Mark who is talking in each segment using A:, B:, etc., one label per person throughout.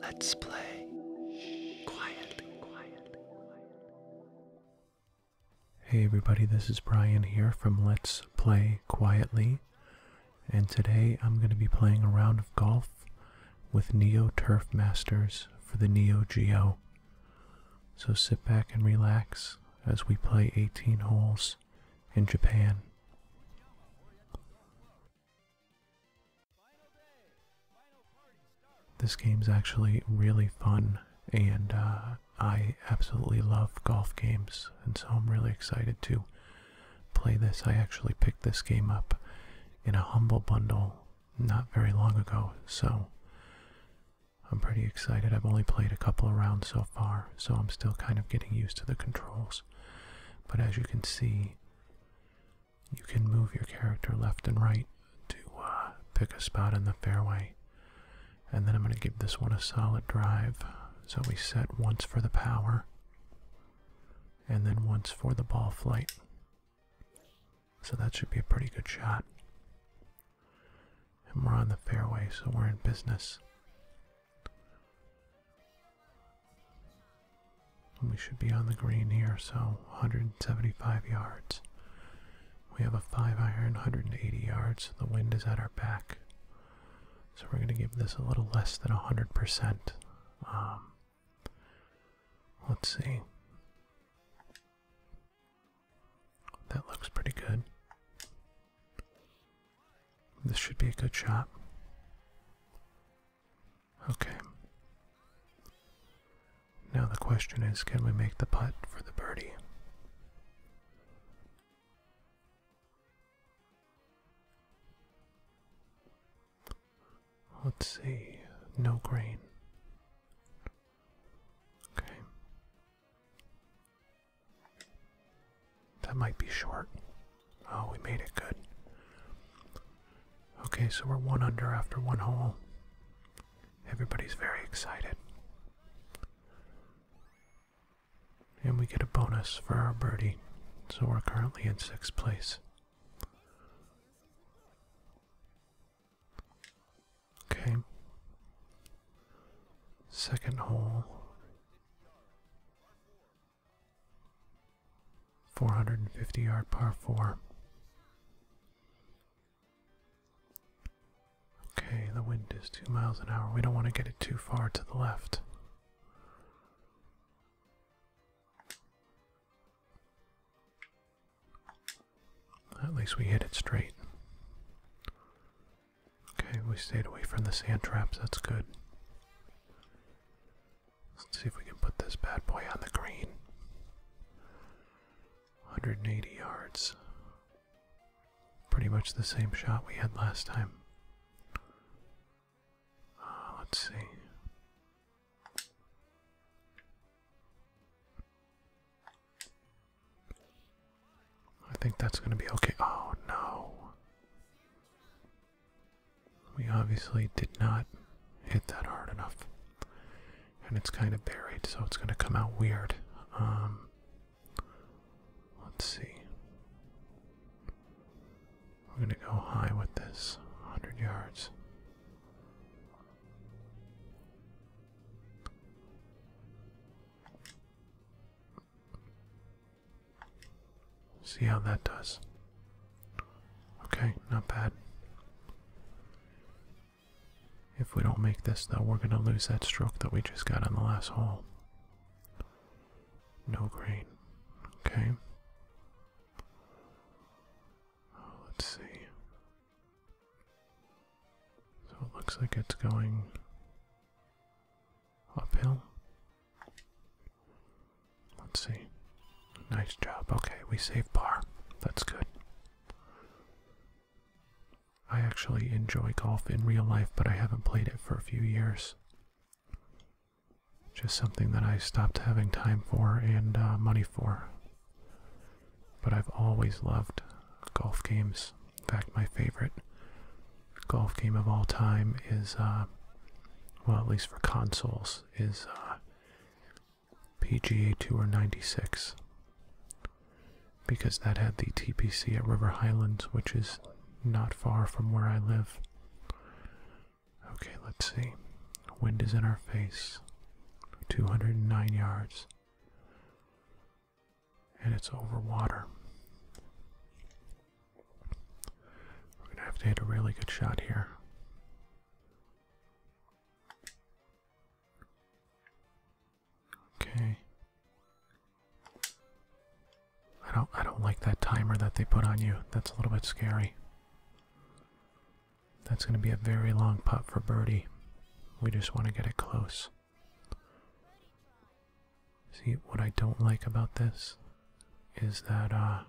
A: Let's play quietly, Hey everybody, this is Brian here from Let's Play Quietly, and today I'm going to be playing a round of golf with Neo Turf Masters for the Neo Geo. So sit back and relax as we play 18 holes in Japan. This game's actually really fun, and uh, I absolutely love golf games, and so I'm really excited to play this. I actually picked this game up in a humble bundle not very long ago, so I'm pretty excited. I've only played a couple of rounds so far, so I'm still kind of getting used to the controls. But as you can see, you can move your character left and right to uh, pick a spot in the fairway. And then I'm going to give this one a solid drive. So we set once for the power, and then once for the ball flight. So that should be a pretty good shot. And we're on the fairway, so we're in business. We should be on the green here, so 175 yards. We have a 5 iron, 180 yards. The wind is at our back. So we're going to give this a little less than 100%. Um, let's see. That looks pretty good. This should be a good shot. Okay. Now the question is can we make the putt for the birdie? Let's see. No green. Okay. That might be short. Oh, we made it good. Okay, so we're one under after one hole. Everybody's very excited. And we get a bonus for our birdie, so we're currently in sixth place. Okay. Second hole. 450 yard par 4. Okay, the wind is 2 miles an hour. We don't want to get it too far to the left. At least we hit it straight. Okay, we stayed away from the sand traps, that's good. Let's see if we can put this bad boy on the green. 180 yards. Pretty much the same shot we had last time. Uh, let's see. I think that's going to be okay. Oh no. We obviously did not hit that hard enough. And it's kind of buried, so it's going to come out weird. Um, let's see. We're going to go high with this 100 yards. See how that does. Okay, not bad. If we don't make this, though, we're going to lose that stroke that we just got on the last hole. No green. Okay. let's see. So it looks like it's going uphill. Let's see. Nice job. Okay, we saved par. That's good. I actually enjoy golf in real life, but I haven't played it for a few years. Just something that I stopped having time for and uh, money for. But I've always loved golf games. In fact, my favorite golf game of all time is, uh, well, at least for consoles, is uh, PGA Tour 96 because that had the TPC at River Highlands, which is not far from where I live. Okay, let's see. Wind is in our face. 209 yards. And it's over water. We're going to have to hit a really good shot here. Okay. I don't I don't like that timer that they put on you. That's a little bit scary. That's going to be a very long putt for birdie. We just want to get it close. See, what I don't like about this is that uh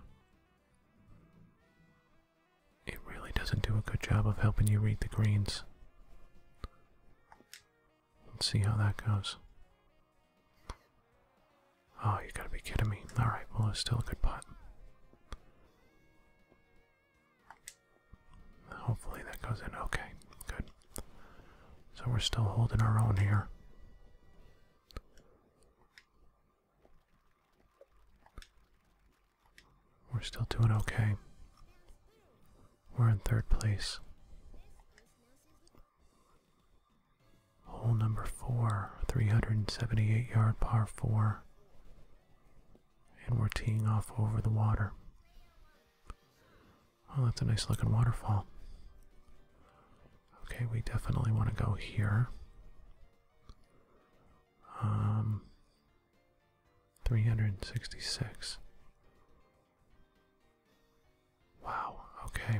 A: it really doesn't do a good job of helping you read the greens. Let's see how that goes. Oh, you gotta be kidding me. Alright, well, it's still a good putt. Hopefully that goes in okay. Good. So we're still holding our own here. We're still doing okay. We're in third place. Hole number four, 378 yard par four. And we're teeing off over the water. Oh, that's a nice looking waterfall. Okay, we definitely want to go here. Um, 366. Wow, okay.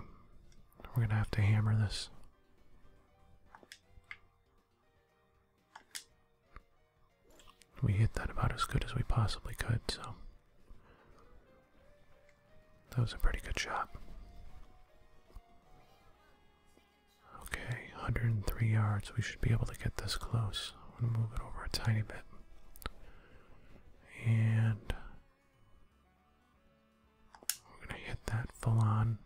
A: We're going to have to hammer this. We hit that about as good as we possibly could, so. That was a pretty good shot. Okay, 103 yards. We should be able to get this close. I'm going to move it over a tiny bit. And we're going to hit that full on.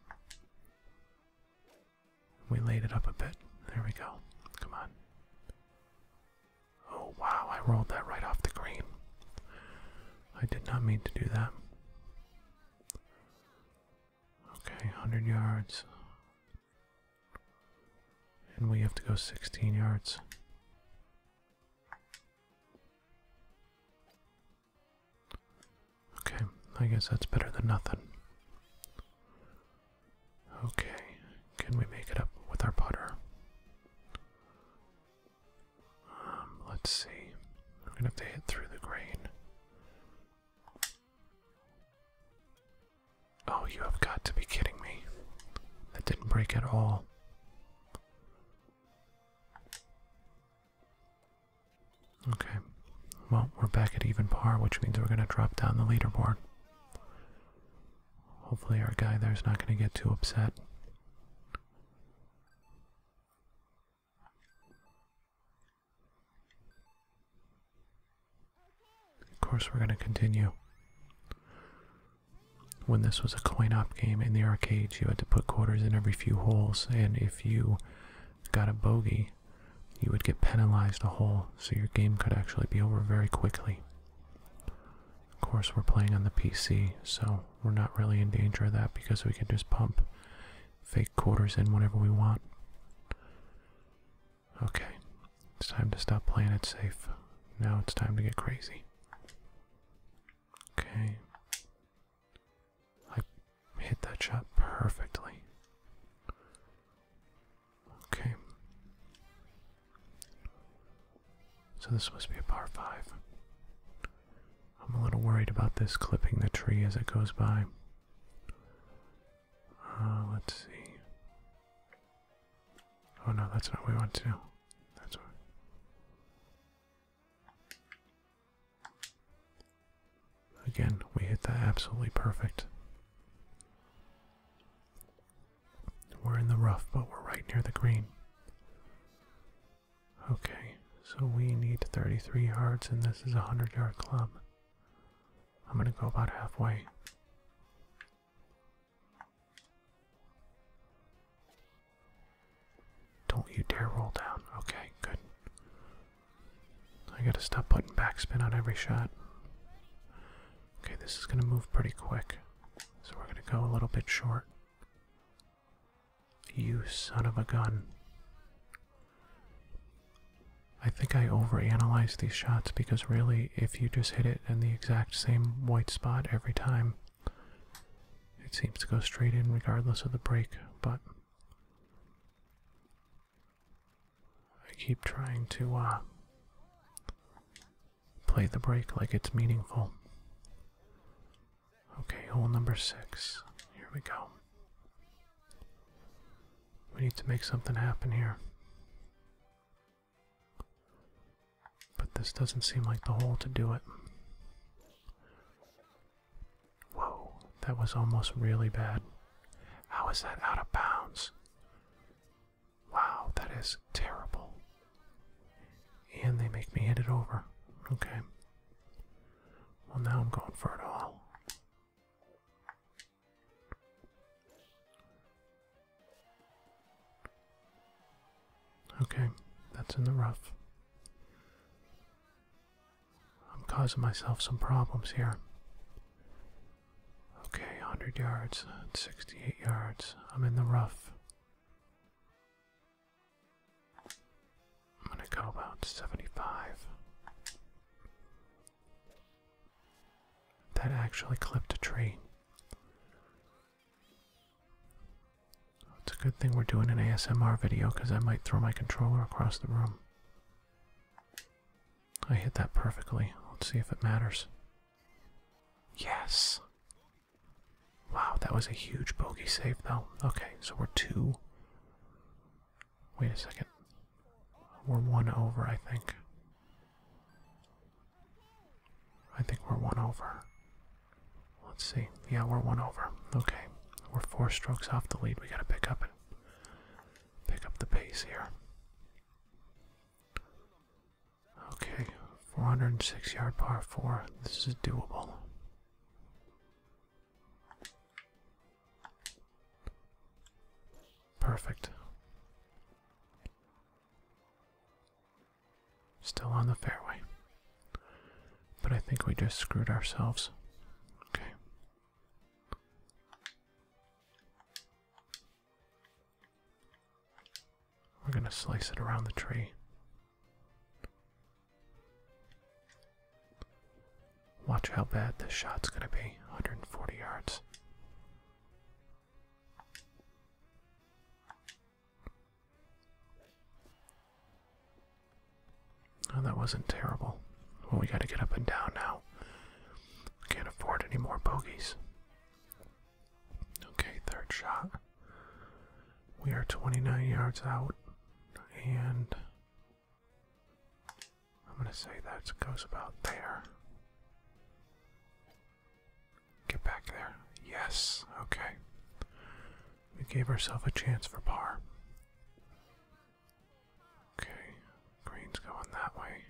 A: We laid it up a bit. There we go. Come on. Oh, wow. I rolled that right off the green. I did not mean to do that. Okay, 100 yards. And we have to go 16 yards. Okay, I guess that's better than nothing. Okay, can we make it up with our putter? Um, let's see. I'm gonna have to hit through the grain. Oh, you have got to be kidding me. That didn't break at all. Okay. Well, we're back at even par, which means we're going to drop down the leaderboard. Hopefully, our guy there's not going to get too upset. Of course, we're going to continue. When this was a coin op game in the arcades, you had to put quarters in every few holes, and if you got a bogey, you would get penalized a hole, so your game could actually be over very quickly. Of course, we're playing on the PC, so we're not really in danger of that because we can just pump fake quarters in whenever we want. Okay, it's time to stop playing it safe. Now it's time to get crazy. Okay. I hit that shot perfectly. Okay. So this must be a par 5. I'm a little worried about this clipping the tree as it goes by. Uh, let's see. Oh no, that's not what we want to do. That's what. Again, we hit that absolutely perfect. We're in the rough, but we're right near the green. Okay, so we need 33 yards, and this is a 100 yard club. I'm gonna go about halfway. Don't you dare roll down. Okay, good. I gotta stop putting backspin on every shot. Okay, this is gonna move pretty quick, so we're gonna go a little bit short. You son of a gun. I think I overanalyze these shots because really, if you just hit it in the exact same white spot every time, it seems to go straight in regardless of the break, but I keep trying to uh, play the break like it's meaningful. Okay, hole number six. Here we go. We need to make something happen here. But this doesn't seem like the hole to do it. Whoa, that was almost really bad. How is that out of bounds? Wow, that is terrible. And they make me hit it over. Okay. Well, now I'm going for it all. Okay, that's in the rough. I'm causing myself some problems here. Okay, 100 yards, 68 yards. I'm in the rough. I'm gonna go about 75. That actually clipped a tree. It's a good thing we're doing an ASMR video because I might throw my controller across the room. I hit that perfectly. Let's see if it matters. Yes! Wow, that was a huge bogey save, though. Okay, so we're two. Wait a second. We're one over, I think. I think we're one over. Let's see. Yeah, we're one over. Okay. We're four strokes off the lead. We gotta pick up and pick up the pace here. Okay, 406 yard par 4. This is doable. Perfect. Still on the fairway. But I think we just screwed ourselves. Okay. We're going to slice it around the tree. Watch how bad this shot's going to be 140 yards. Oh, that wasn't terrible. Well, we got to get up and down now. Can't afford any more bogeys. Okay, third shot. We are 29 yards out, and I'm going to say that goes about there. Get back there. Yes, okay. We gave ourselves a chance for par. Okay, green's going that way.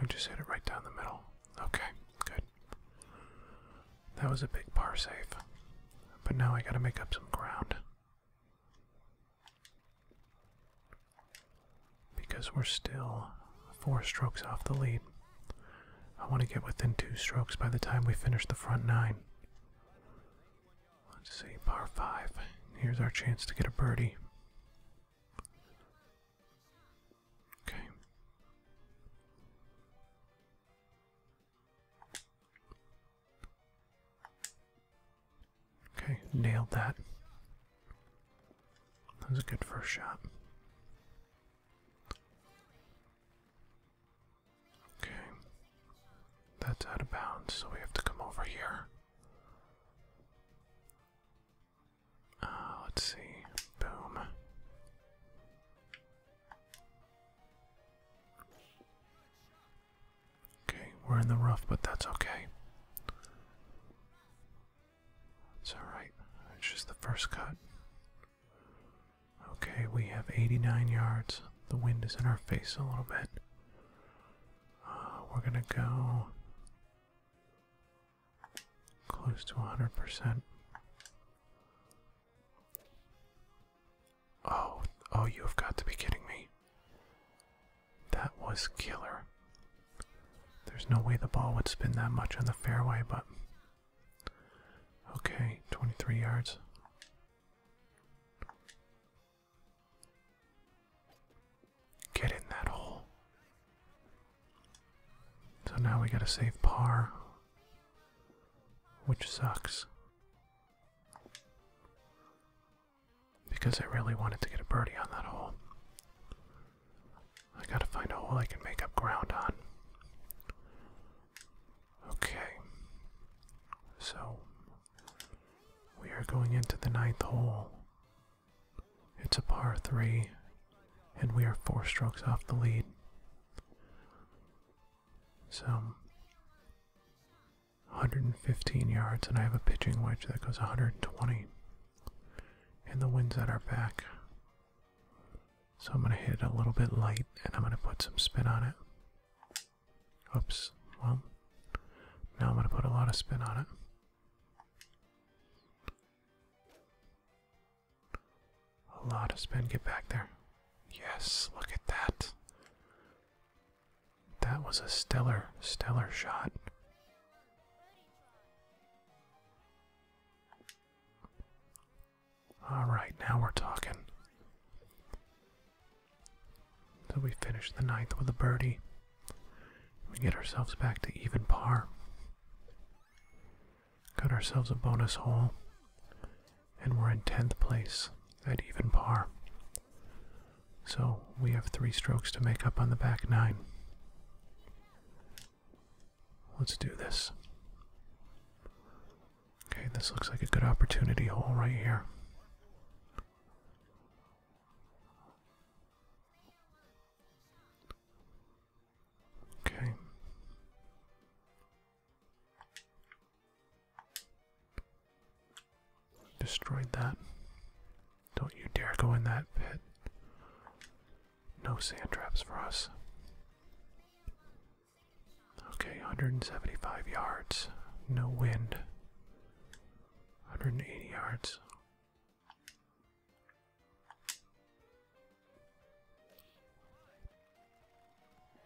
A: I just hit it right down the middle. Okay, good. That was a big par save. But now I gotta make up some ground. Because we're still four strokes off the lead. I want to get within two strokes by the time we finish the front nine. Let's see, par five. Here's our chance to get a birdie. Okay. Okay, nailed that. That was a good first shot. Okay. That's out of bounds, so we have to come over here. Oh, let's see. Boom. Okay, we're in the rough, but that's okay. It's alright. It's just the first cut. Okay, we have 89 yards. The wind is in our face a little bit. Uh, we're gonna go close to 100%. Oh, oh, you have got to be kidding me. That was killer. There's no way the ball would spin that much on the fairway, but. Okay, 23 yards. Get in that hole. So now we gotta save par, which sucks. Because I really wanted to get a birdie on that hole. I gotta find a hole I can make up ground on. Okay. So, we are going into the ninth hole. It's a par 3, and we are 4 strokes off the lead. So, 115 yards, and I have a pitching wedge that goes 120. And the wind's at our back. So, I'm going to hit it a little bit light, and I'm going to put some spin on it. Oops, well, now I'm going to put a lot of spin on it. A lot of spin. Get back there. Yes, look at that. That was a stellar, stellar shot. Alright, now we're talking. So we finish the ninth with a birdie. We get ourselves back to even par. Cut ourselves a bonus hole, and we're in 10th place at even par. So we have three strokes to make up on the back nine. Let's do this. Okay, this looks like a good opportunity hole right here. Okay. Destroyed that. Don't you dare go in that pit. No sand traps for us. Okay, 175 yards. No wind. 180 yards.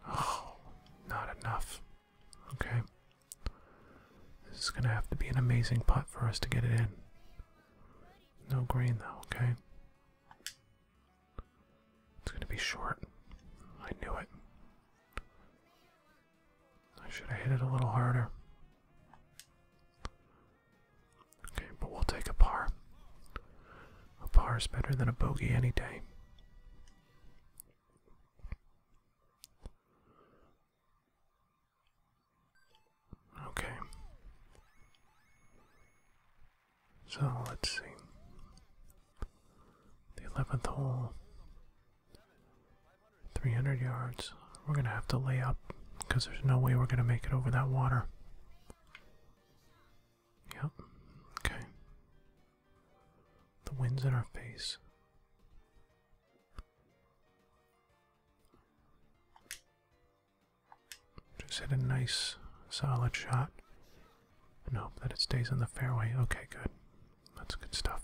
A: Oh, not enough. Okay. This is going to have to be an amazing putt for us to get it in. No green, though, okay? It's going to be short. I knew it. I should have hit it a little harder. Okay, but we'll take a par. A par is better than a bogey any day. Okay. So let's see. The 11th hole, 300 yards. We're going to have to lay up because there's no way we're going to make it over that water. Yep, okay. The wind's in our face. Just hit a nice, solid shot and hope that it stays in the fairway. Okay, good. That's good stuff.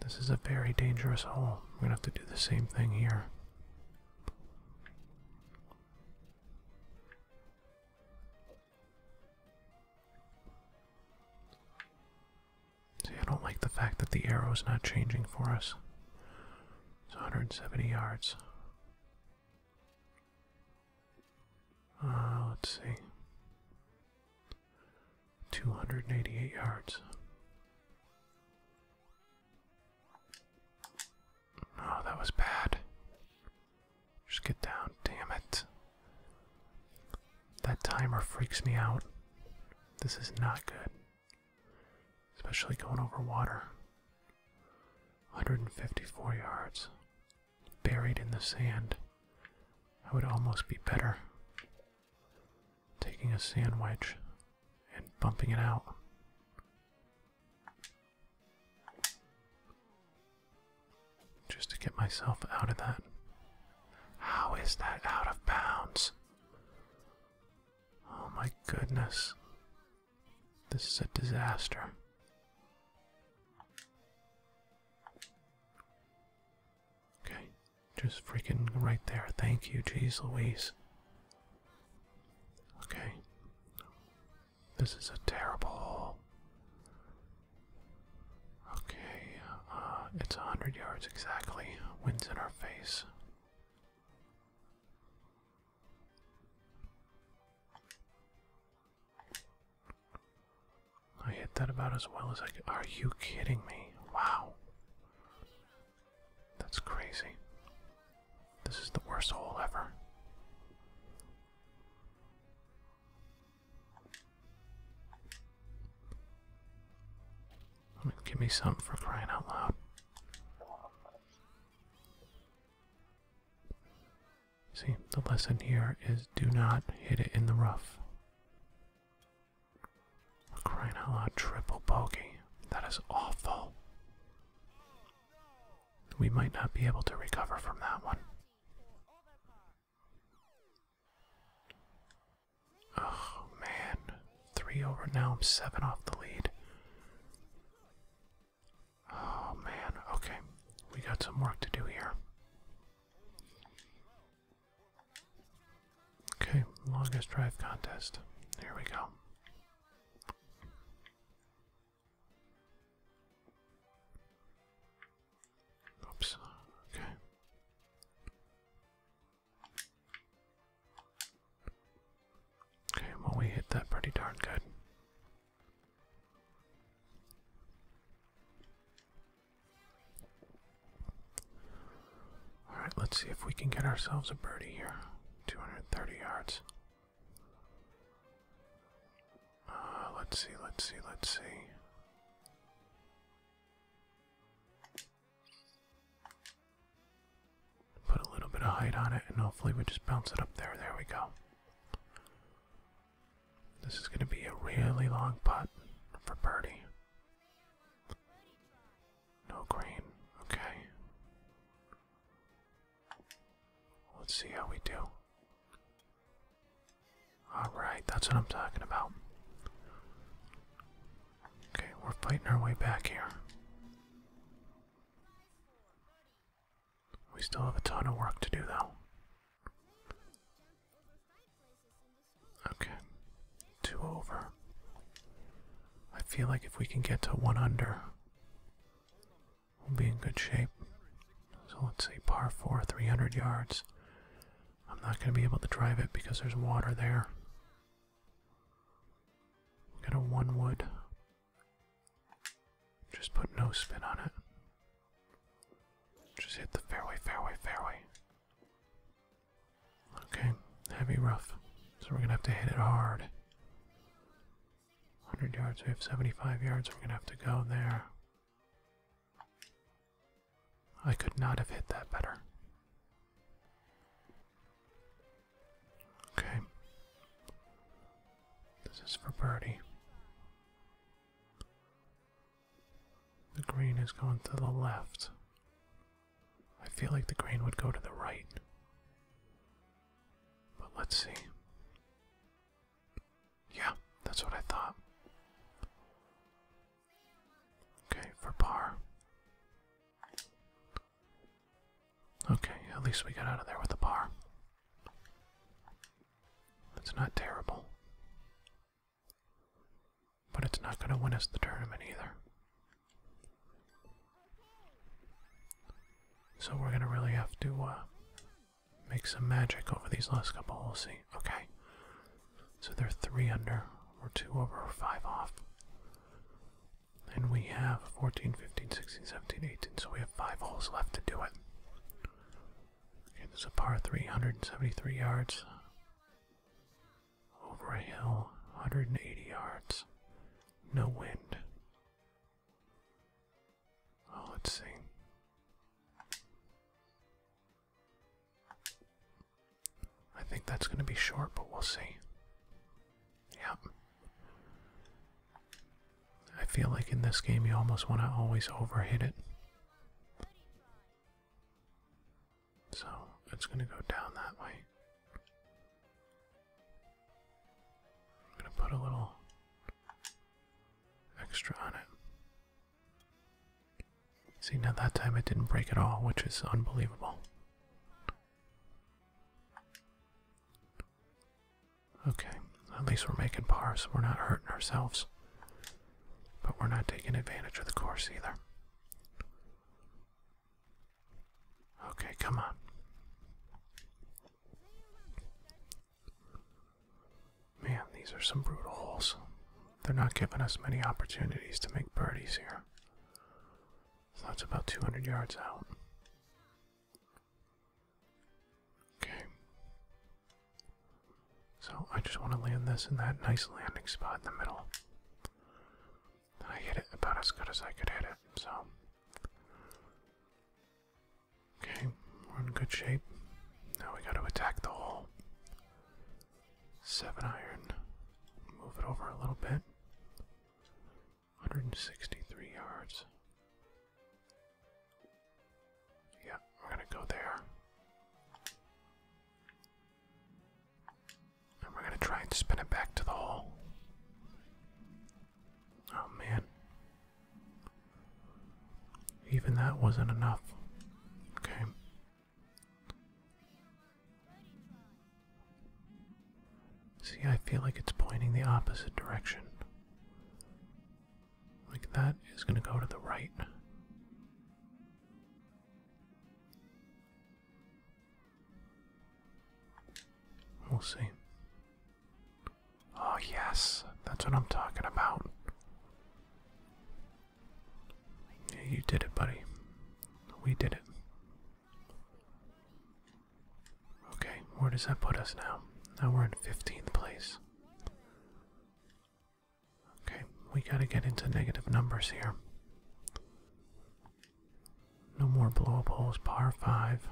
A: This is a very dangerous hole. We're gonna have to do the same thing here. See, I don't like the fact that the arrow is not changing for us. It's 170 yards. Uh, let's see. 288 yards. Oh, that was bad. Just get down. Damn it. That timer freaks me out. This is not good. Especially going over water. 154 yards. Buried in the sand. I would almost be better taking a sandwich and bumping it out. Just to get myself out of that. How is that out of bounds? Oh my goodness. This is a disaster. Okay, just freaking right there. Thank you, jeez Louise. Okay. This is a terrible hole. Okay, uh, it's a hundred yards exactly. Wind's in our face. I hit that about as well as I could. Are you kidding me? Wow. That's crazy. This is the worst hole ever. give me some for crying out loud. See, the lesson here is do not hit it in the rough crying out loud, triple bogey. That is awful. We might not be able to recover from that one. Oh man, three over now. I'm seven off the lead. Oh man, okay. We got some work to do here. Okay, longest drive contest. Here we go. Oops, okay. Okay, well, we hit that pretty darn good. Alright, let's see if we can get ourselves a birdie here. 230 yards. Uh, let's see, let's see, let's see. Put a little bit of height on it, and hopefully we just bounce it up there. There we go. This is going to be a really long putt for birdie. No green. Okay. Let's see how we do. Alright, that's what I'm talking about. Okay, we're fighting our way back here. We still have a ton of work to do, though. Okay, two over. I feel like if we can get to one under, we'll be in good shape. So let's see, par four, 300 yards. I'm not going to be able to drive it because there's water there. We got a one wood. Just put no spin on it. Just hit the fairway, fairway, fairway. Okay, heavy rough. So we're gonna have to hit it hard. 100 yards, we have 75 yards, we're gonna have to go there. I could not have hit that better. Okay. This is for birdie. The green is going to the left. I feel like the crane would go to the right. But let's see. Yeah, that's what I thought. Okay, for par. Okay, at least we got out of there with a the par. It's not terrible. But it's not going to win us the tournament either. So we're gonna really have to uh, make some magic over these last couple holes. See, okay. So they're three under, we're two over, five off. And we have 14, 15, 16, 17, 18, so we have five holes left to do it. Okay, there's a par 373 yards. Over a hill, 180 yards. No wind. Oh, let's I think that's going to be short, but we'll see. Yep. I feel like in this game you almost want to always overhit it. So it's going to go down that way. I'm going to put a little extra on it. See, now that time it didn't break at all, which is unbelievable. Okay, at least we're making par, so we're not hurting ourselves. But we're not taking advantage of the course either. Okay, come on. Man, these are some brutal holes. They're not giving us many opportunities to make birdies here. that's about 200 yards out. Okay. So I just want to land this in that nice landing spot in the middle. I hit it about as good as I could hit it, so. Okay, we're in good shape. Now we gotta attack the hole. Seven iron. Move it over a little bit. 163 yards. Yeah, we're gonna go there we're gonna try and spin it back to the hole. Oh man. Even that wasn't enough. Okay. See, I feel like it's pointing the opposite direction. Like that is going to go to the right. We'll see. Oh, yes, that's what I'm talking about. you did it, buddy. We did it. Okay, where does that put us now? Now we're in 15th place. Okay, we gotta get into negative numbers here. No more blow up holes, par 5.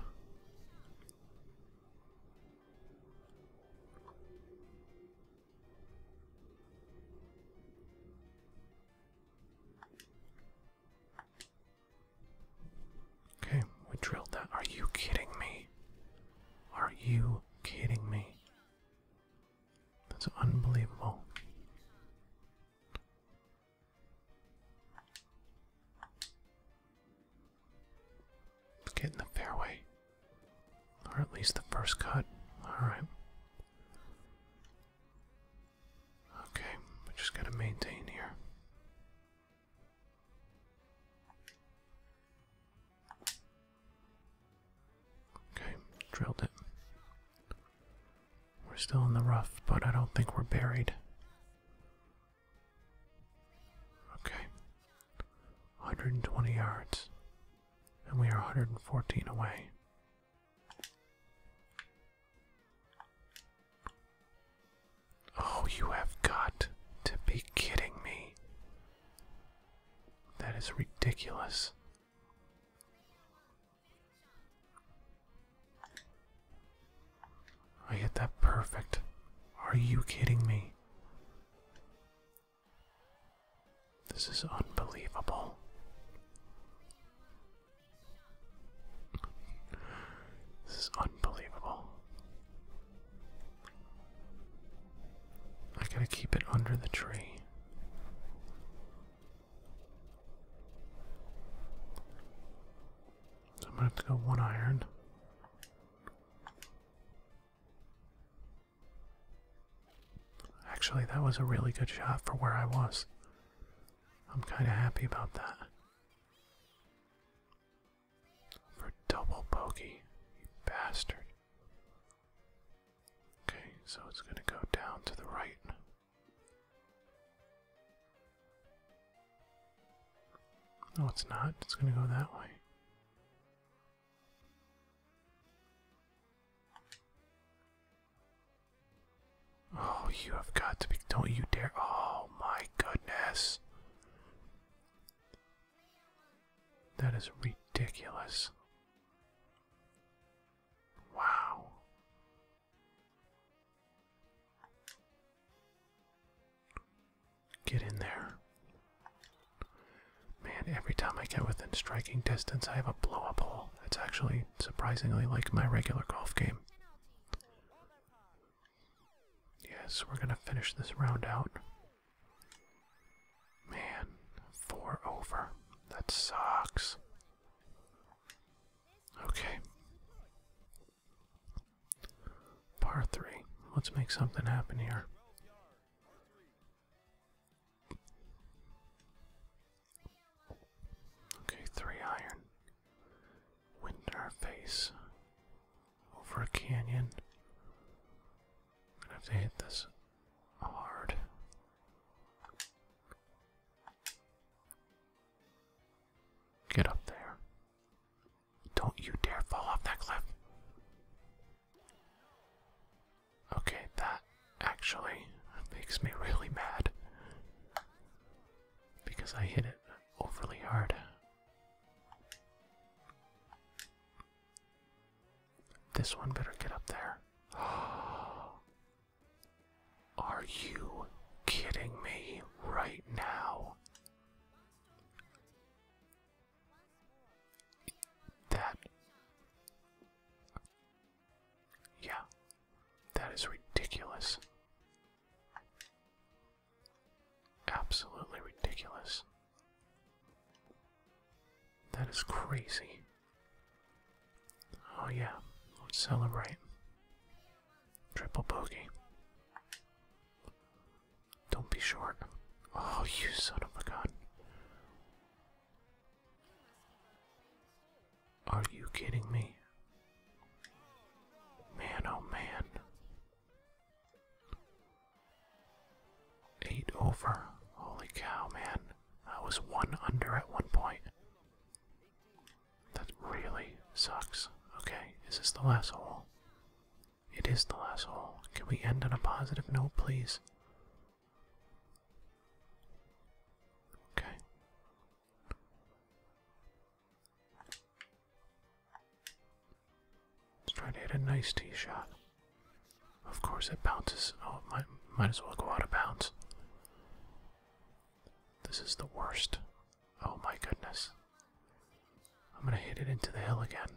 A: Okay, we drilled that. Are you kidding me? Are you kidding me? That's unbelievable get in the fairway. Or at least the first cut. Alright. Okay, we just gotta maintain here. Okay, drilled it. We're still in the rough, but I don't think we're buried. Okay. 120 yards. And we are 114 away. Oh, you have got to be kidding me. That is ridiculous. I hit that perfect. Are you kidding me? This is unbelievable. This is unbelievable. I gotta keep it under the tree. I'm gonna have to go one iron. Actually, that was a really good shot for where I was. I'm kind of happy about that. For double bogey, you bastard. Okay, so it's going to go down to the right. No, it's not. It's going to go that way. Oh, you have got to be. Don't you dare. Oh, my goodness. That is ridiculous. Wow. Get in there. Man, every time I get within striking distance, I have a blow up hole. It's actually surprisingly like my regular golf game. Yes, we're going to finish this round out. Man, four over. That sucks. Okay. Par three. Let's make something happen here. Okay, three iron. Wind in our face. Over a canyon. gonna have to hit this hard. Get up there. Don't you dare fall off that cliff. Okay, that actually makes me really mad because I hit it overly hard. This one better get up there. Oh. Are you kidding me right now? That. Yeah. That is ridiculous. Absolutely ridiculous. That is crazy. Oh, yeah, let's celebrate. Triple bogey. Don't be short. Oh, you son of a gun. Are you kidding me? Man, oh man. Eight over. Holy cow, man. I was one under at one point. That really sucks. Okay, is this the last hole? It is the last hole. Can we end on a positive note, please? Okay. Let's try to hit a nice tee shot. Of course, it bounces. Oh, it might, might as well go out of bounds. This is the worst. Oh my goodness. I'm gonna hit it into the hill again.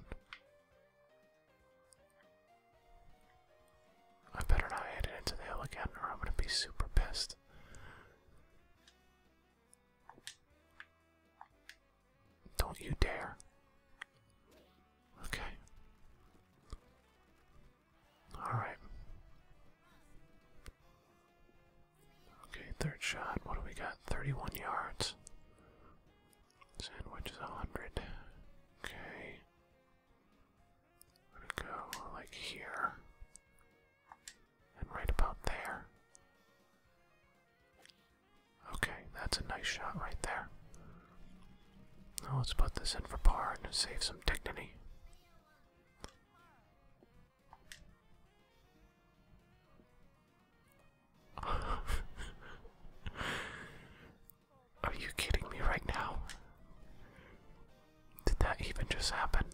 A: I better not hit it into the hill again, or I'm gonna be super pissed. Don't you dare. Okay. Alright. Okay, third shot. What do we got? 31 yards. Sandwich is 100. Okay. gonna go like here. And right about there. Okay, that's a nice shot right there. Now let's put this in for par and save some dignity. Are you kidding me right now? Did that even just happen?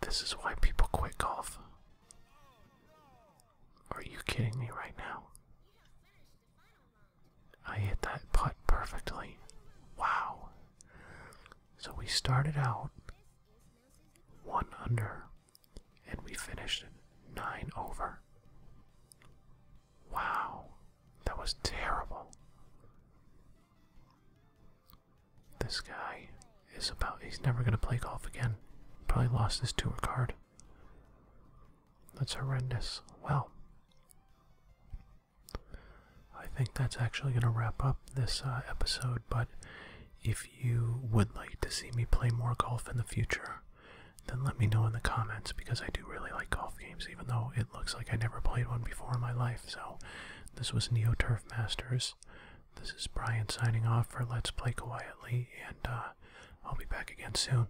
A: This is why people quit golf. Are you kidding me right now? I hit that putt perfectly. Wow. So we started out one under and we finished nine over. Wow. That was terrible. This guy is about, he's never going to play golf again. Probably lost his tour card. That's horrendous. Well, I think that's actually going to wrap up this uh, episode, but if you would like to see me play more golf in the future, then let me know in the comments because I do really like golf games, even though it looks like I never played one before in my life. So, this was Neo Turf Masters. This is Brian signing off for Let's Play Quietly, and uh, I'll be back again soon.